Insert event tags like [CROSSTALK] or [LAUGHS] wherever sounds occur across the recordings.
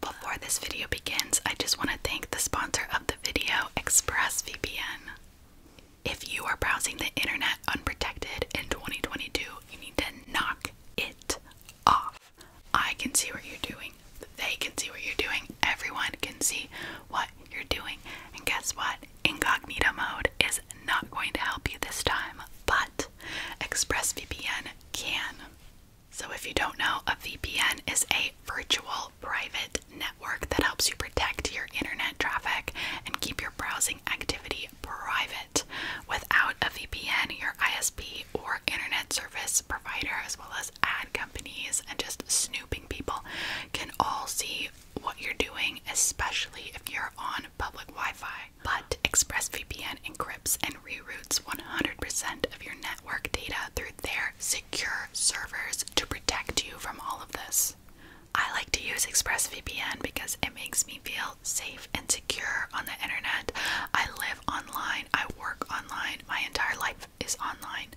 Before this video begins, I just want to thank the sponsor of the video, ExpressVPN. If you are browsing the internet unprotected in 2022, you need to knock it off. I can see what you're doing. They can see what you're doing. Everyone can see what you're doing. And guess what? Incognito mode is not going to help you this time, but ExpressVPN can. So, if you don't know, a VPN is a virtual private network that helps you protect your internet traffic and keep your browsing activity private. Without a VPN, your ISP or internet service provider, as well as ad companies and just snooping people can all see what you're doing, especially if you're on public Wi Fi. But ExpressVPN encrypts and reroutes 100% of your network data through their secure servers to protect you from all of this. I like to use ExpressVPN because it makes me feel safe and secure on the internet. I live online, I work online, my entire life is online.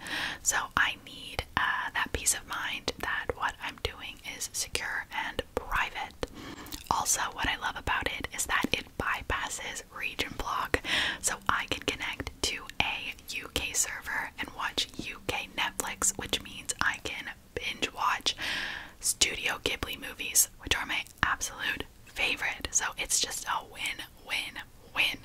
So I need uh, that peace of mind that what I'm doing is secure and private. Also, what I love about it is that it bypasses region block, so I can connect to a UK server and watch UK Netflix, which means I can binge watch Studio Ghibli movies, which are my absolute favorite. So it's just a win win win.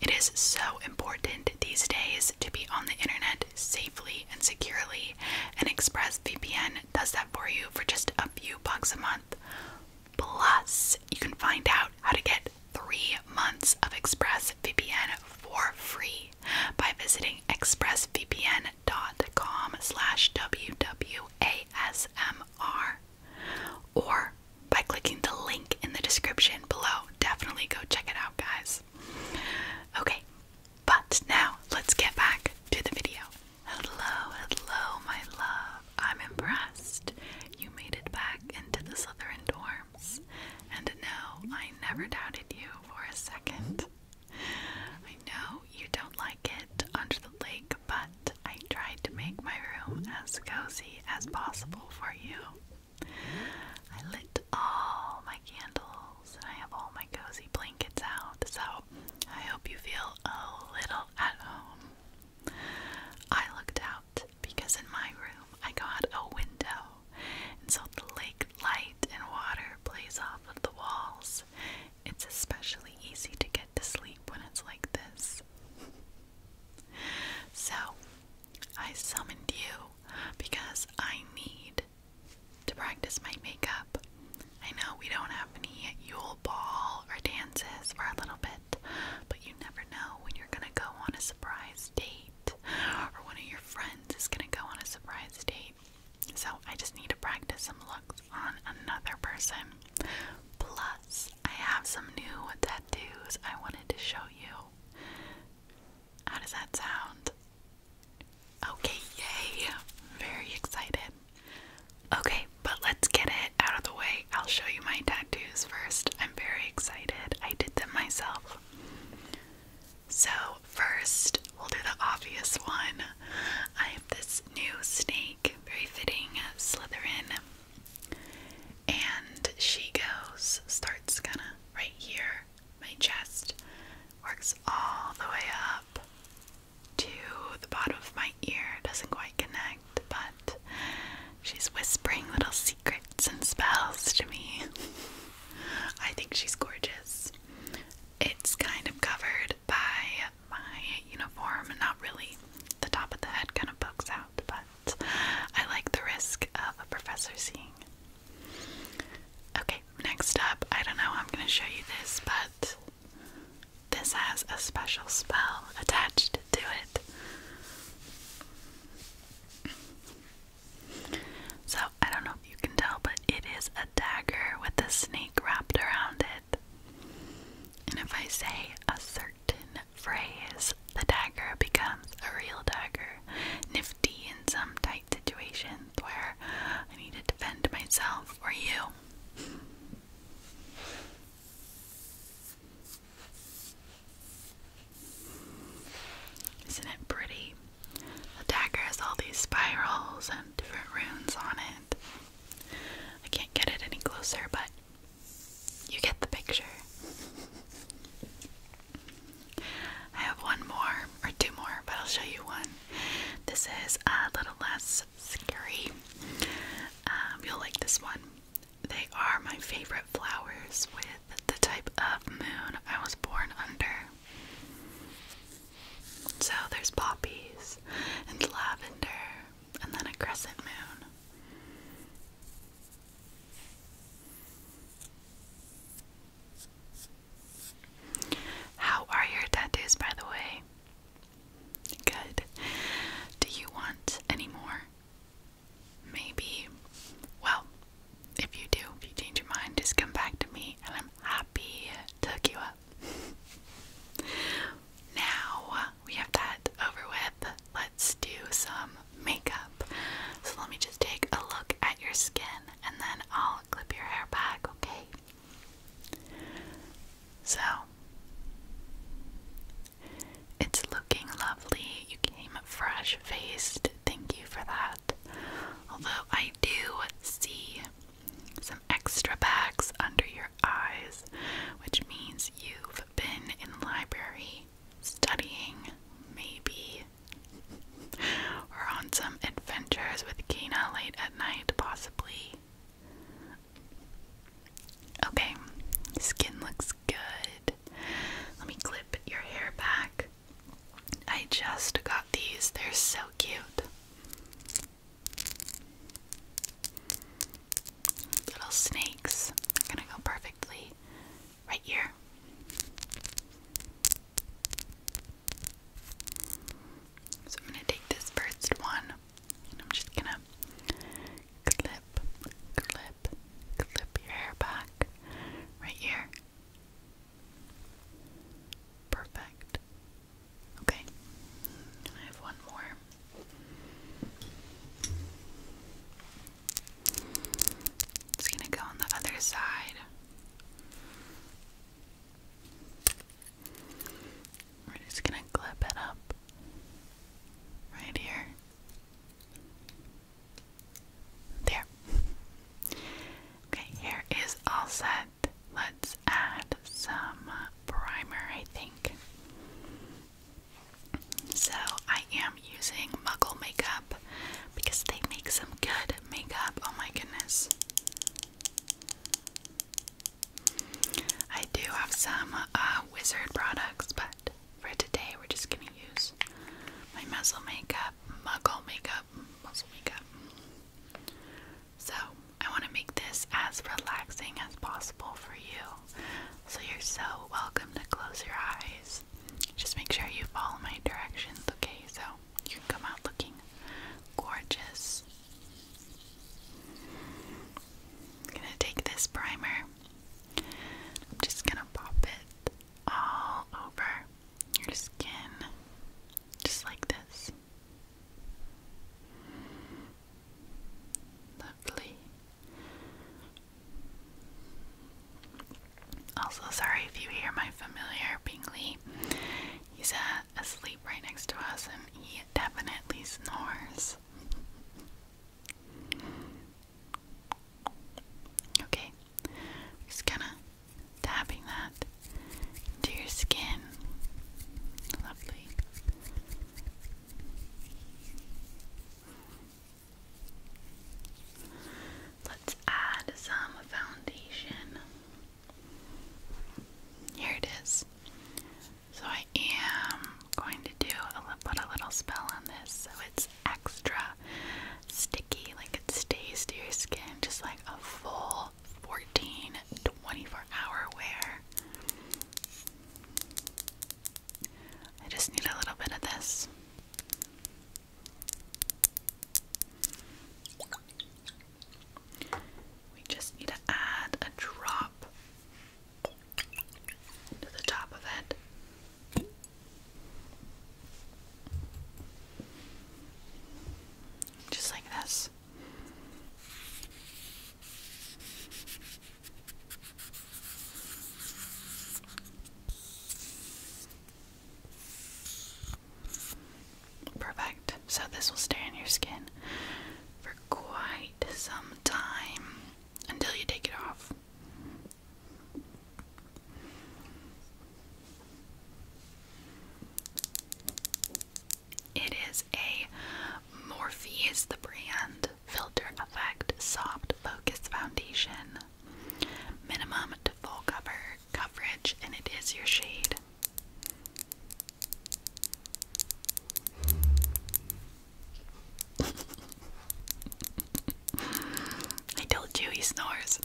It is so important these days to be on the internet safely and securely, and ExpressVPN does that for you for just a few bucks a month. Plus, you can find out how to get three months of ExpressVPN for free by visiting expressvpn.com slash WWASMR or by clicking the link in the description below. Definitely go check it out, guys. Okay, but now let's get back to the video. Hello, hello, my love. I'm impressed. You made it back into the southern dorms. And no, I never doubted you for a second. I know you don't like it under the lake, but I tried to make my room as cozy as possible for you. I lit all my candles and I have all my cozy blankets out, so I hope you feel a little at home. I looked out because in my room I got a window, and so the lake light and water plays off of the walls. It's especially easy to get to sleep when it's like this. [LAUGHS] so, I summoned you because I need to practice my makeup. I know we don't have any Yule Ball or dances for a little bit, but you never know when you're gonna go on a surprise date or one of your friends is gonna go on a surprise date. So I just need to practice some looks on another person. Plus, I have some new tattoos I wanted to show you. How does that sound? Okay, yay! Very excited. Okay, but let's get it out of the way. I'll show you my tattoos first. I'm very excited. I did them myself. So, first, we'll do the obvious one. I have this new snake, very fitting Slytherin and she goes, starts kind of right here, my chest, works all the way up to the bottom of my ear. Doesn't quite connect, but she's whispering little secrets and spells to me. [LAUGHS] I think she's gorgeous. It's kind of covered by my uniform, not really. The top of the head kind of pokes out, but I like the risk of a professor seeing. Okay, next up, I don't know, I'm going to show you this, but this has a special spell attached to it. So, I don't know if you can tell, but it is a dagger with a snake wrapped around it. And if I say a certain certain phrase, the dagger becomes a real dagger. Nifty in some tight situations where I need to defend myself or you. Isn't it pretty? The dagger has all these spirals and different runes on it. I can't get it any closer, but you get the picture. I have one more, or two more, but I'll show you one. This is a little less scary. Um, you'll like this one. They are my favorite flowers with the type of moon I was born under. So there's poppies and lavender and then a crescent moon. How are your tattoos, by the way? Good. Do you want any more? Maybe. Well, if you do, if you change your mind, just come back to me and I'm happy to hook you up. [LAUGHS] now, we have that over with, let's do some makeup. So let me just take a look at your skin and then I'll clip your hair back, okay? So it's looking lovely. You came fresh faced. Thank you for that. Although I do see some extra bags under your eyes, which means you've been in library studying, maybe. or on some adventures with Kina late at night, possibly. Okay, skin looks good. Let me clip your hair back. I just got these, they're so cute little snakes are gonna go perfectly right here. So I'm gonna take this first one and I'm just gonna clip, clip, clip your hair back right here. Perfect. Okay. I have one more. It's going to go on the other side. We're just going to clip it up right here. There. Okay, here is all set. Let's add some primer, I think. So I am using Muggle makeup because they make some good makeup. Oh my goodness. I do have some uh, wizard products, but for today we're just gonna use my muzzle makeup, muggle makeup, muzzle makeup. So I want to make this as relaxing as possible for you. So you're so welcome to close your eyes. Just make sure you follow my directions, okay? So you can come out looking gorgeous. I'm gonna take this primer. I'm just gonna pop it all over your skin, just like this. Lovely. Also, sorry if you hear my familiar Bingley. He's uh, asleep right next to us and he definitely snores. Okay, just kind of tapping that into your skin. Lovely. Let's add some foundation. Here it is. So I am going to do put a little spell on this so it's extra sticky, like it stays to your skin, just like a full 14 24 hour wear. I just need a little bit of this. We just need to add a drop to the top of it. Just like this. Perfect. So this will stay on your skin for quite some time until you take it off. It is a Morphe is the brand. Filter Effect Soft Focus Foundation. Minimum to full cover coverage, and it is your shade. [LAUGHS] I told you he snores.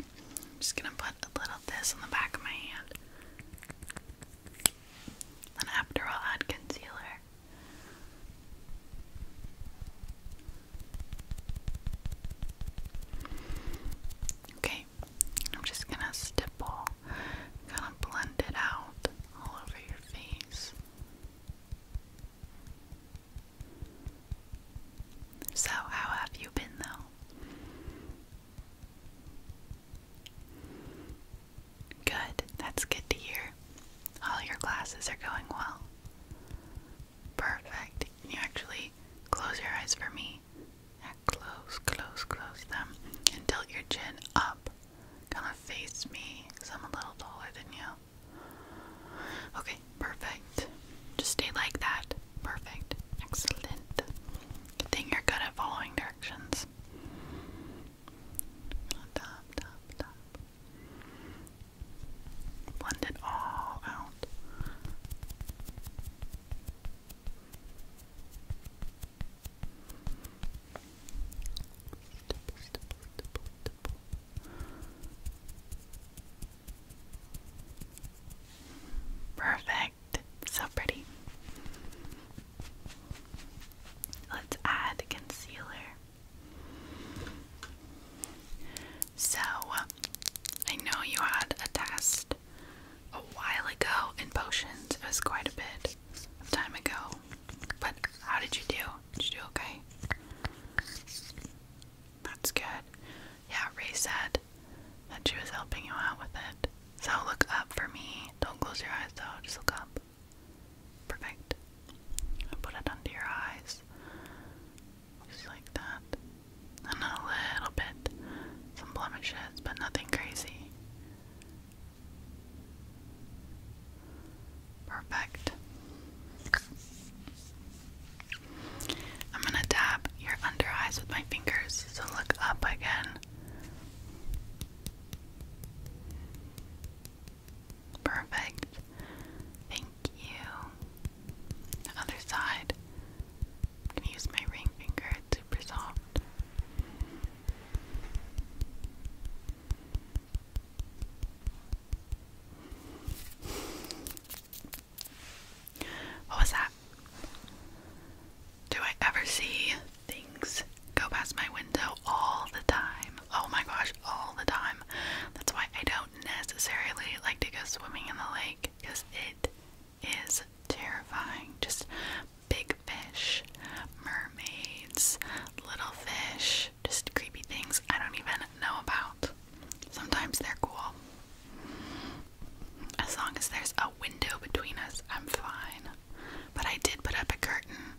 I'm just gonna put a little this on the back of my hand. Then after I'll add concealer. Okay, I'm just gonna stipple, kind of blend it out all over your face. So, how have you been though? Good, that's good to hear. All your classes are going well. Perfect. Can you actually close your eyes for me? Now close, close, close them. And tilt your chin up. Kind of face me, because I'm a little taller than you. Okay, perfect. Just stay like that. Perfect. Excellent. Good thing you're good at following directions. Blend it all out. Perfect perfect. So pretty. Let's add concealer. So, I know you had a test a while ago in potions. It was quite a bit time ago. But how did you do? Did you do okay? That's good. Yeah, reset that she was helping you out with it. So look up for me. Don't close your eyes though, just look up. Perfect. Put it under your eyes. Just like that. And a little bit. Some blemishes, but nothing crazy. Perfect. I'm gonna dab your under eyes with my fingers. So look up again. Perfect. Thank you. Other side. I'm gonna use my ring finger. super soft. What was that? Do I ever see things go past my window all the time? Oh my gosh, all the time. That's why I don't necessarily like to go swimming in the lake because it is terrifying. Just big fish, mermaids, little fish, just creepy things I don't even know about. Sometimes they're cool, as long as there's a window between us, I'm fine. But I did put up a curtain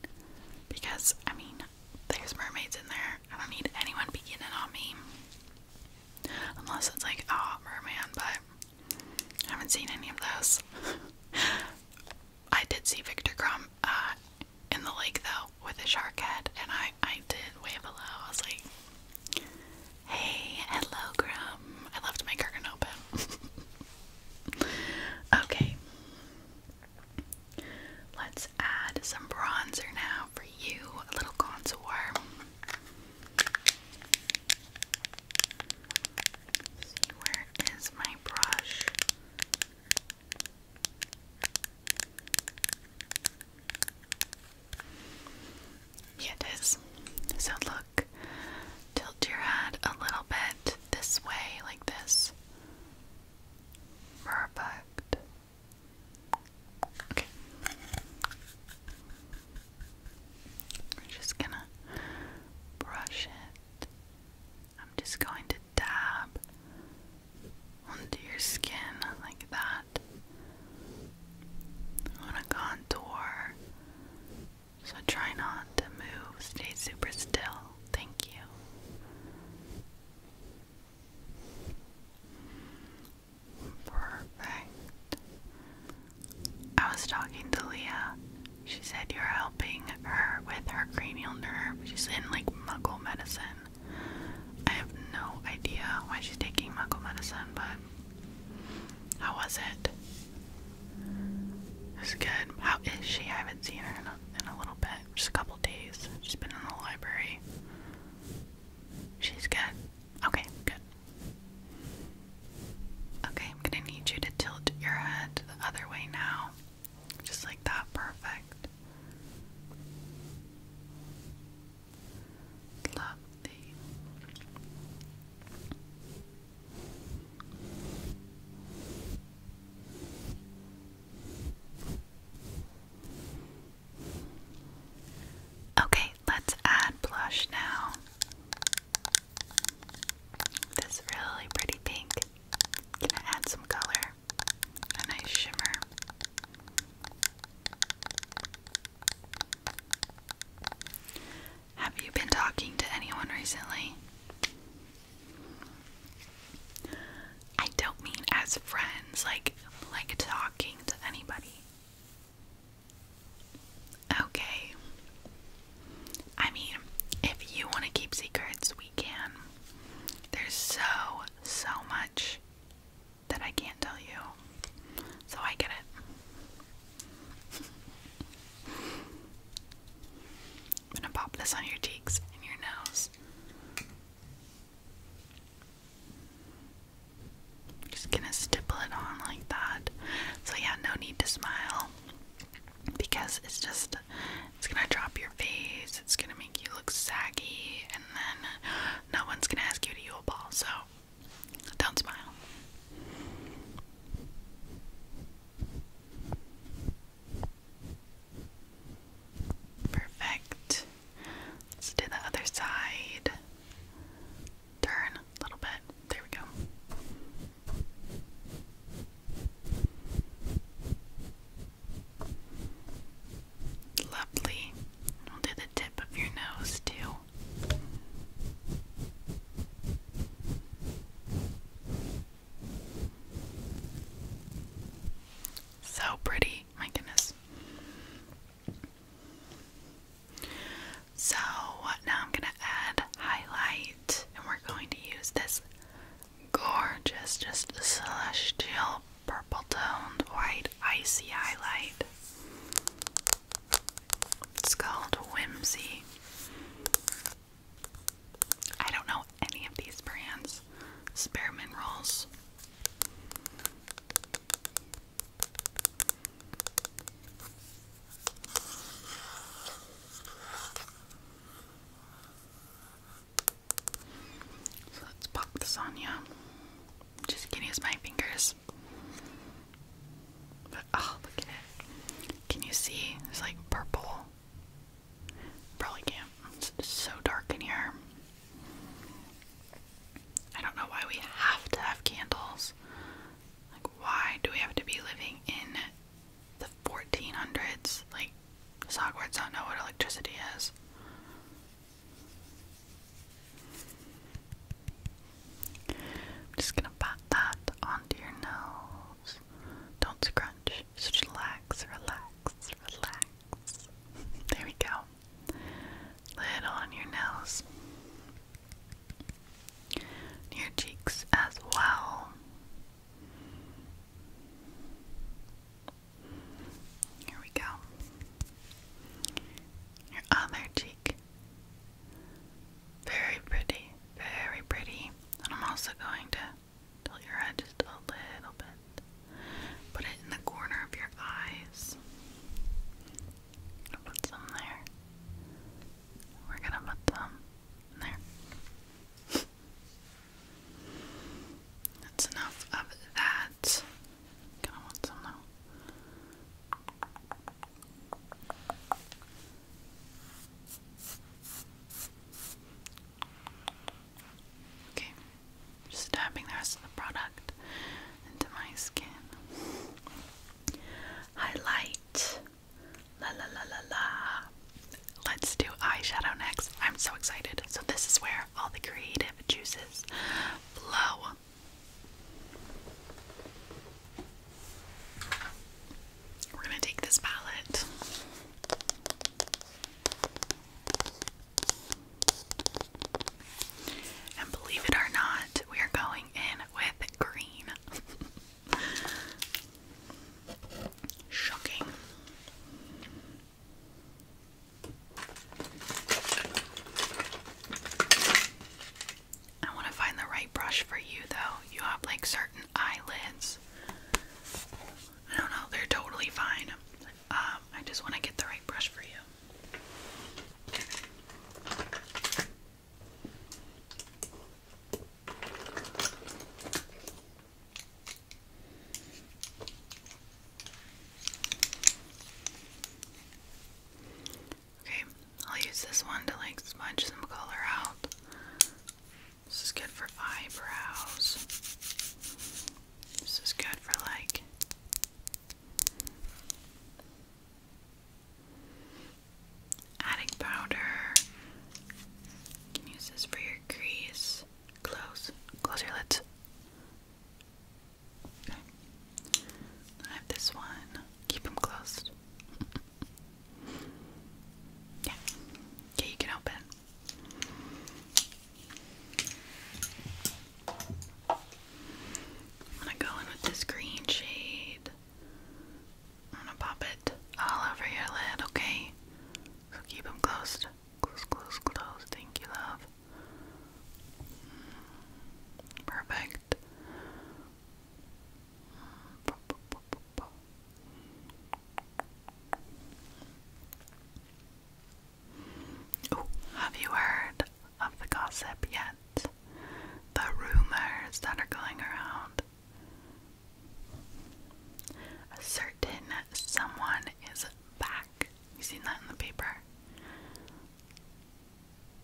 because, I mean, there's mermaids in there. I don't need anyone beginning on me. Unless it's like, oh, merman, but I haven't seen any of those. [LAUGHS] I did see Victor Crumb uh, in the lake though with a shark head, and I, I did wave hello. I was like, Hey, hello, Grum. I left my curtain open. [LAUGHS] okay. Let's add some bronzer now for you, little contour. where is my brush? Yeah, it is. So look, tilt your head a little bit this way, like this. Perfect. Okay. We're just gonna brush it. I'm just going to dab onto your skin like that on a contour. So try not to move. Stay super still. Thank you. Perfect. I was talking to Leah. She said you're helping her with her cranial nerve. She's in like muggle medicine. I have no idea why she's taking muggle medicine, but how was it? It was good. How is she? I haven't seen her in a, little bit. Just a couple days. She's been in the library. She's good. Okay, good. Okay, I'm gonna need you to tilt your head the other way now. Just like that. Perfect. Lovely. Okay, let's add blush now. This really pretty pink. Gonna add some color, a nice shimmer. Have you been talking to anyone recently? I don't mean as friends, like like talking to anybody. Okay. I mean, if you want to keep secrets, we can. There's so so much that I can't tell you. So I get it. I'm gonna pop this on your cheeks and your nose. I'm just gonna stipple it on like that. So yeah, no need to smile because it's just it's gonna drop your face, it's gonna make you look saggy, and then no one's gonna ask you to you a ball, so don't smile. Perfect. Let's do the other side. Turn a little bit. There we go. Lovely. We'll do tip of your nose, too. So pretty, my goodness. So now I'm going to add highlight, and we're going to use this gorgeous, just celestial purple toned white icy highlight. It's called Whimsy. I don't know any of these brands. Spearmint rolls. let's pop this on you. Just can use my fingers. But oh, look at it. Can you see? It's like purple. Probably can't. It's so dark in here. I don't know why we have to have candles. Like, why do we have to be living in the 1400s? Like, does Hogwarts not know what electricity is? I'm just gonna pat that onto your nose. Don't scrunch. Just relax, relax, relax. [LAUGHS] There we go. Little on your nose. your cheeks as well. Here we go. Your other cheek. Very pretty, very pretty. And I'm also going to tilt your head just a little bit. Put it in the corner of your eyes. put some there. We're gonna put some there. That's enough of that. Kind of want some now. Okay, just dabbing the rest of the product into my skin. Highlight. La la la la la. Let's do eyeshadow next. I'm so excited. So, this is where all the creative juices flow. We're going to take this palette. And believe it or not, we are going in with green. [LAUGHS] Shocking. I want to find the right brush for you though. You have like certain eyelids. I don't know, they're totally fine. Um, I just want to get the right brush for you. Okay, I'll use this one to like smudge some color out. This is good for eyebrows. This is good for like adding powder. You can use this for your crease. Close. Close your lids. Okay. I have this one. Keep them closed. [LAUGHS] yeah. Okay, you can open. I'm gonna go in with this green shade. I'm gonna pop it all over your lid, okay? So keep them closed. Close, close, close. Thank you, love. Perfect. have you heard of the gossip yet? The rumors that are going around. certain someone is back. You seen that in the paper?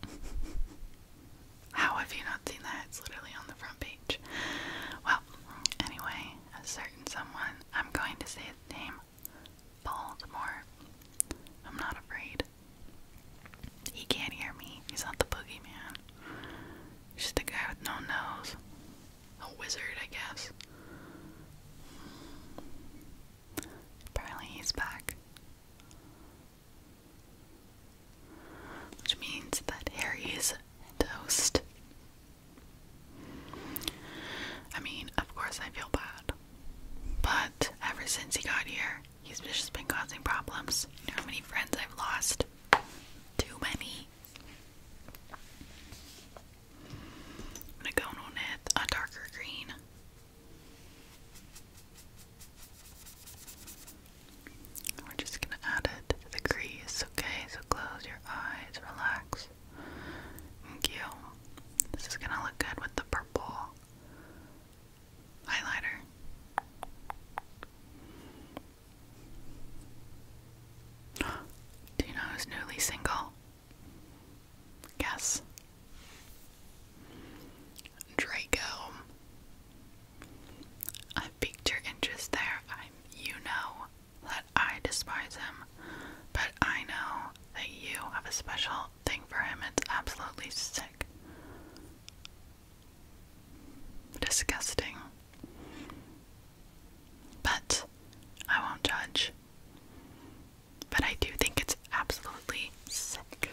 [LAUGHS] How have you not seen that? It's literally on the front page. Well, anyway, a certain someone, I'm going to say his name Baltimore. I'm not afraid. He can't hear me. He's not the boogeyman. He's just a guy with no nose. A wizard, I guess. Apparently he's back. Which means that Harry's toast. I mean, of course I feel bad. But ever since he got here, he's just been causing problems. how many friends I've lost? Too many. I'm gonna go on with a darker green we're just going to add it to the crease, okay? So close your eyes, relax. Thank you. This is going to look good with the purple highlighter. [GASPS] Do you know who's newly single? Guess. Draco. I've piqued your interest there. you know that I despise him, but I know that you have a special thing for him. It's absolutely sick. Disgusting. But I won't judge. But I do think it's absolutely sick.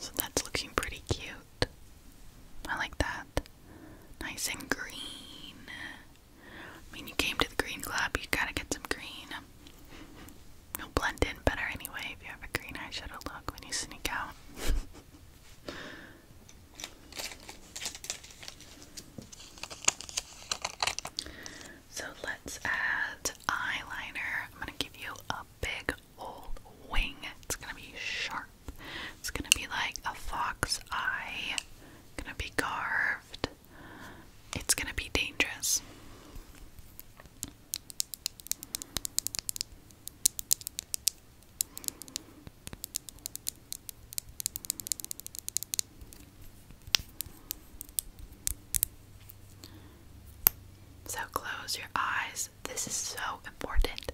So that's looking pretty cute. I like that. Nice and green. I mean, you came to the green club, you gotta get some green. You'll blend in better anyway if you have a green eyeshadow look when you sneak out. [LAUGHS] So let's add eyeliner. I'm going to give you a big old wing. It's going to be sharp. It's going to be like a fox eye. Going to be carved. It's going to be dangerous. So close your eyes. This is so important.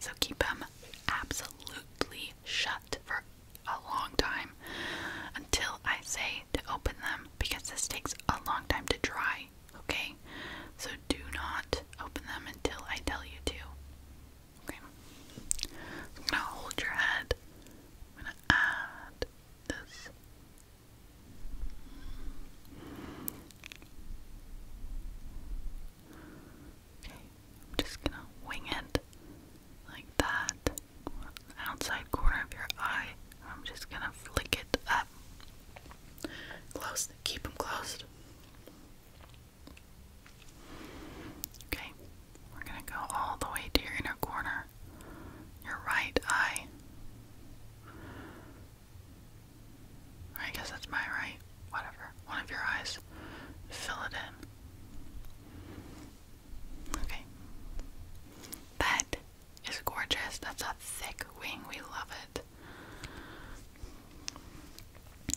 So keep them absolutely shut for a long time until I say to open them because this takes a long time to dry okay? So do not open them until I tell you to. Okay. I'm gonna hold your head. I'm gonna add this. Okay, I'm just gonna wing it like that. Outside corner of your eye. I'm just gonna flick it up. Close. Keep them closed. Okay, we're going to go all the way to your inner corner, your right eye. I guess that's my right, whatever, one of your eyes. Fill it in. Okay. That is gorgeous. That's a thick wing. We love it.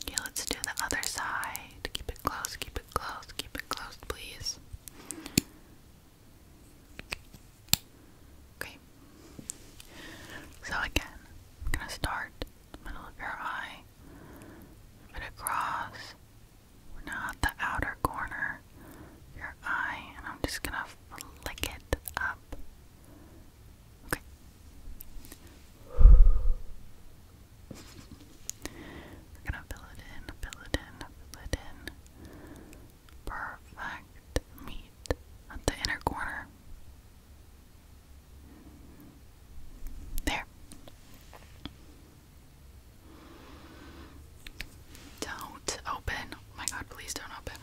Okay, let's do the other side. Keep it close, keep it close, keep it close, please. Okay. So again, I'm gonna start in the middle of your eye, move it across, now at the outer corner, your eye, and I'm just gonna flick it up Okay. We're gonna fill it in, fill it in, fill it in. Perfect. Meet at the inner corner. There. Don't open. Oh my god, please don't open.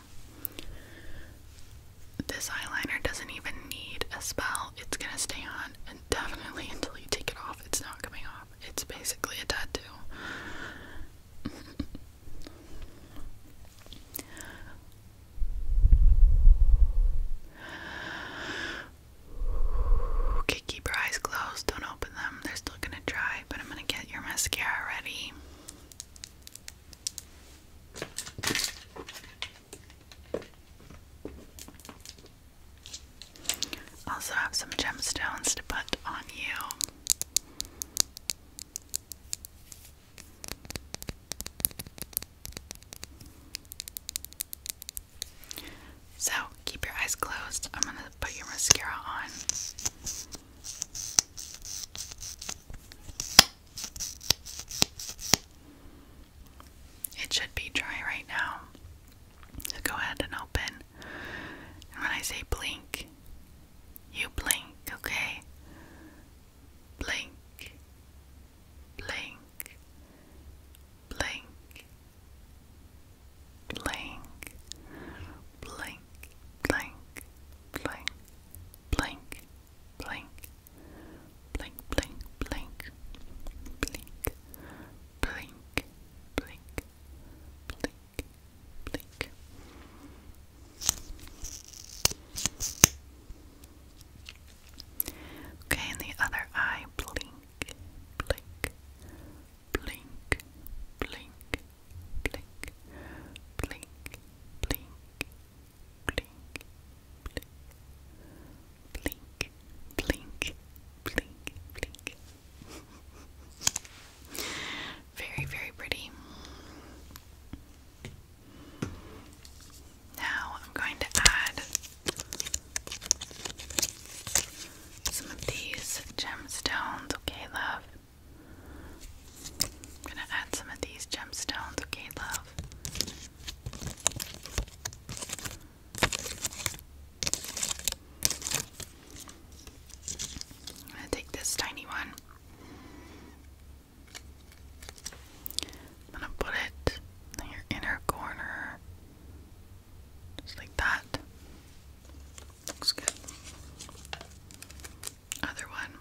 This eyeliner doesn't even need a spell. It's gonna stay on indefinitely until you take it off. It's not coming off. It's basically a tattoo. Okay, keep your eyes closed. Don't open them. They're still gonna dry, but I'm gonna get your mascara ready. Also have some gemstones to put on you. So, keep your eyes closed. I'm going to put your mascara on. It should be dry right now. go ahead and open. when I say blink, you blink, okay? Blink, blink, blink, blink, blink, blink, blink, blink, blink, blink, blink, blink, blink, blink, blink, blink, blink. Okay, and the other eye, blink, blink, blink, blink, blink, blink, blink, blink, blink, blink, blink, blink. [LAUGHS] very, very pretty. Now I'm going to add some of these gemstones, okay, love. I'm gonna add some of these gemstones, okay, love? I'm gonna take this tiny one. I'm gonna put it in your inner corner. Just like that. Looks good other one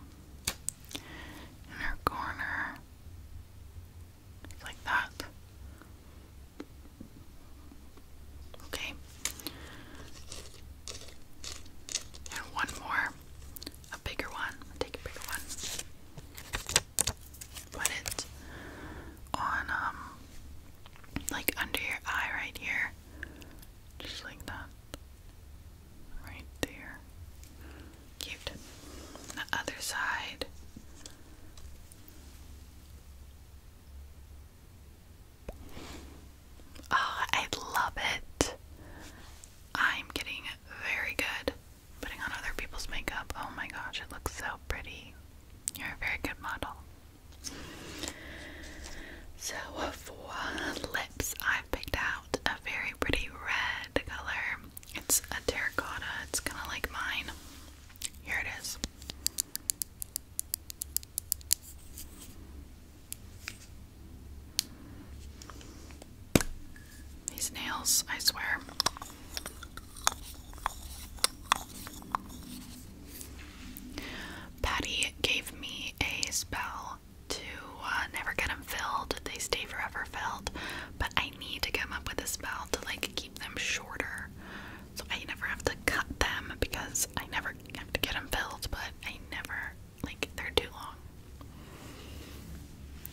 in her corner, like that. Okay, and one more, a bigger one. take a bigger one. Put it on, um, like under your eye right here, just like that. Right there. Cute. The other side. Oh, I love it. I'm getting very good putting on other people's makeup. Oh my gosh, it looks so pretty. You're a very good model. So, for I've picked out a very pretty red color. It's a terracotta, it's kind of like mine. Here it is. These nails, I swear. Patty gave me a spell to uh, never get them filled. They stay forever filled. But I need to come up with a spell to like keep them shorter, so I never have to cut them because I never have to get them filled. But I never like they're too long.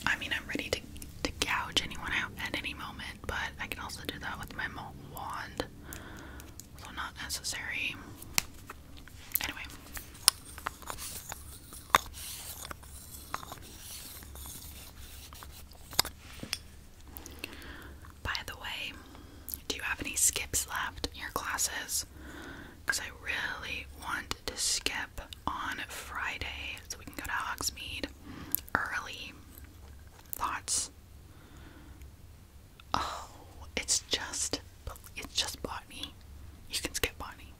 I mean, I'm ready to to gouge anyone out at any moment, but I can also do that with my wand, so not necessary. Anyway, by the way, do you have any skips left in your classes? Because I really want to skip on Friday so we can go to Hogsmeade early. Thoughts? Oh, it's just it's just botany. You can skip botany.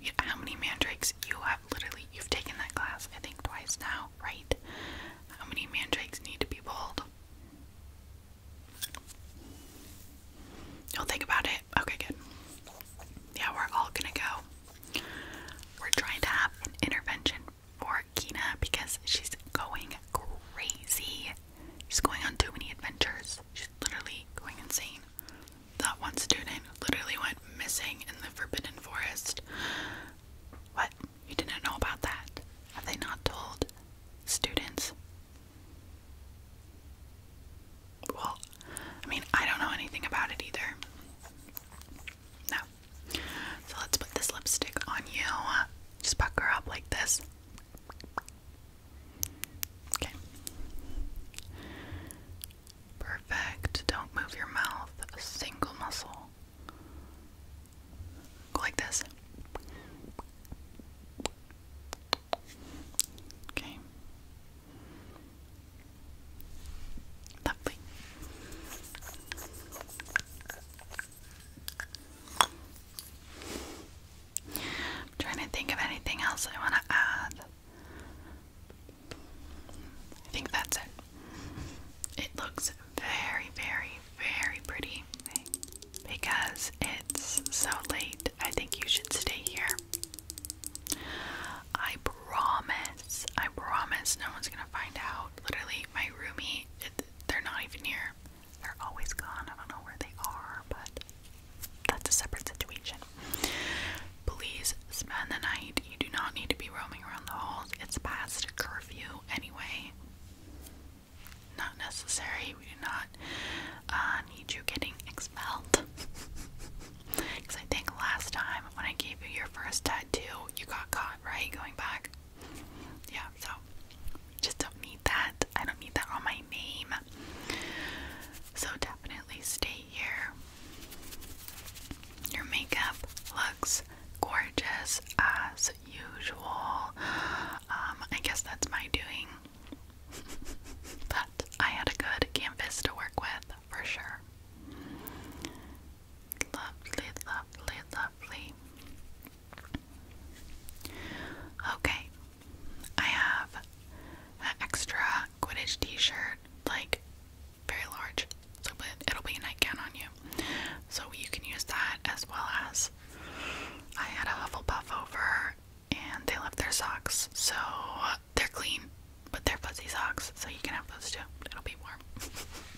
You, how many mandrakes you have? Literally, you've taken that class. I think twice now, right? How many mandrakes need to be pulled? Don't think about it. Okay, good. Yeah, we're all gonna go. We're trying to have an intervention for Kina because she's going crazy. She's going on too many adventures. She's literally going insane. That one student literally went missing in the Forbidden Forest. What? You didn't know about that? Have they not told students? Well, I mean, I don't know anything about it either. No. So let's put this lipstick on you. Just pucker up like this. Okay. Perfect. Don't move your mouth single muscle. Go like this. Okay. Lovely. I'm trying to think of anything else I want to add. I think that's it. It looks very, very, very pretty because it's so late. I think you should stay here. I promise, I promise no one's gonna find out. Literally, my roomie, they're not even here. They're always gone. I don't know where they are, but that's a separate situation. Please spend the night. You do not need to be roaming around the halls. It's past curfew anyway. Not necessary. We do not uh, need you getting expelled. Because [LAUGHS] I think last time when I gave you your first tattoo, you got caught, right? Going back. Yeah, so just don't need that. I don't need that on my name. So definitely stay here. Your makeup looks gorgeous as usual. Um, I guess that's my doing. [LAUGHS] but I had a good canvas to work with for sure. Lovely, lovely, lovely. Okay, I have an extra Quidditch t-shirt, like very large, so it'll be a nightgown on you. So you can use that as well as I had a Hufflepuff over and they left their socks, so they're clean, but they're fuzzy socks, so you can have those too. It'll be warm.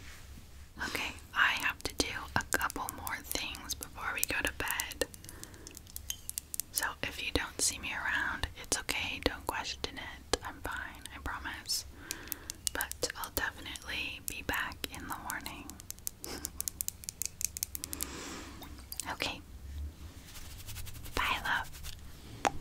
[LAUGHS] okay, I have to do a couple more things before we go to bed. So if you don't see me around, it's okay, don't question it. I'm fine, I promise. But I'll definitely be back in the morning. [LAUGHS] okay. Bye, love.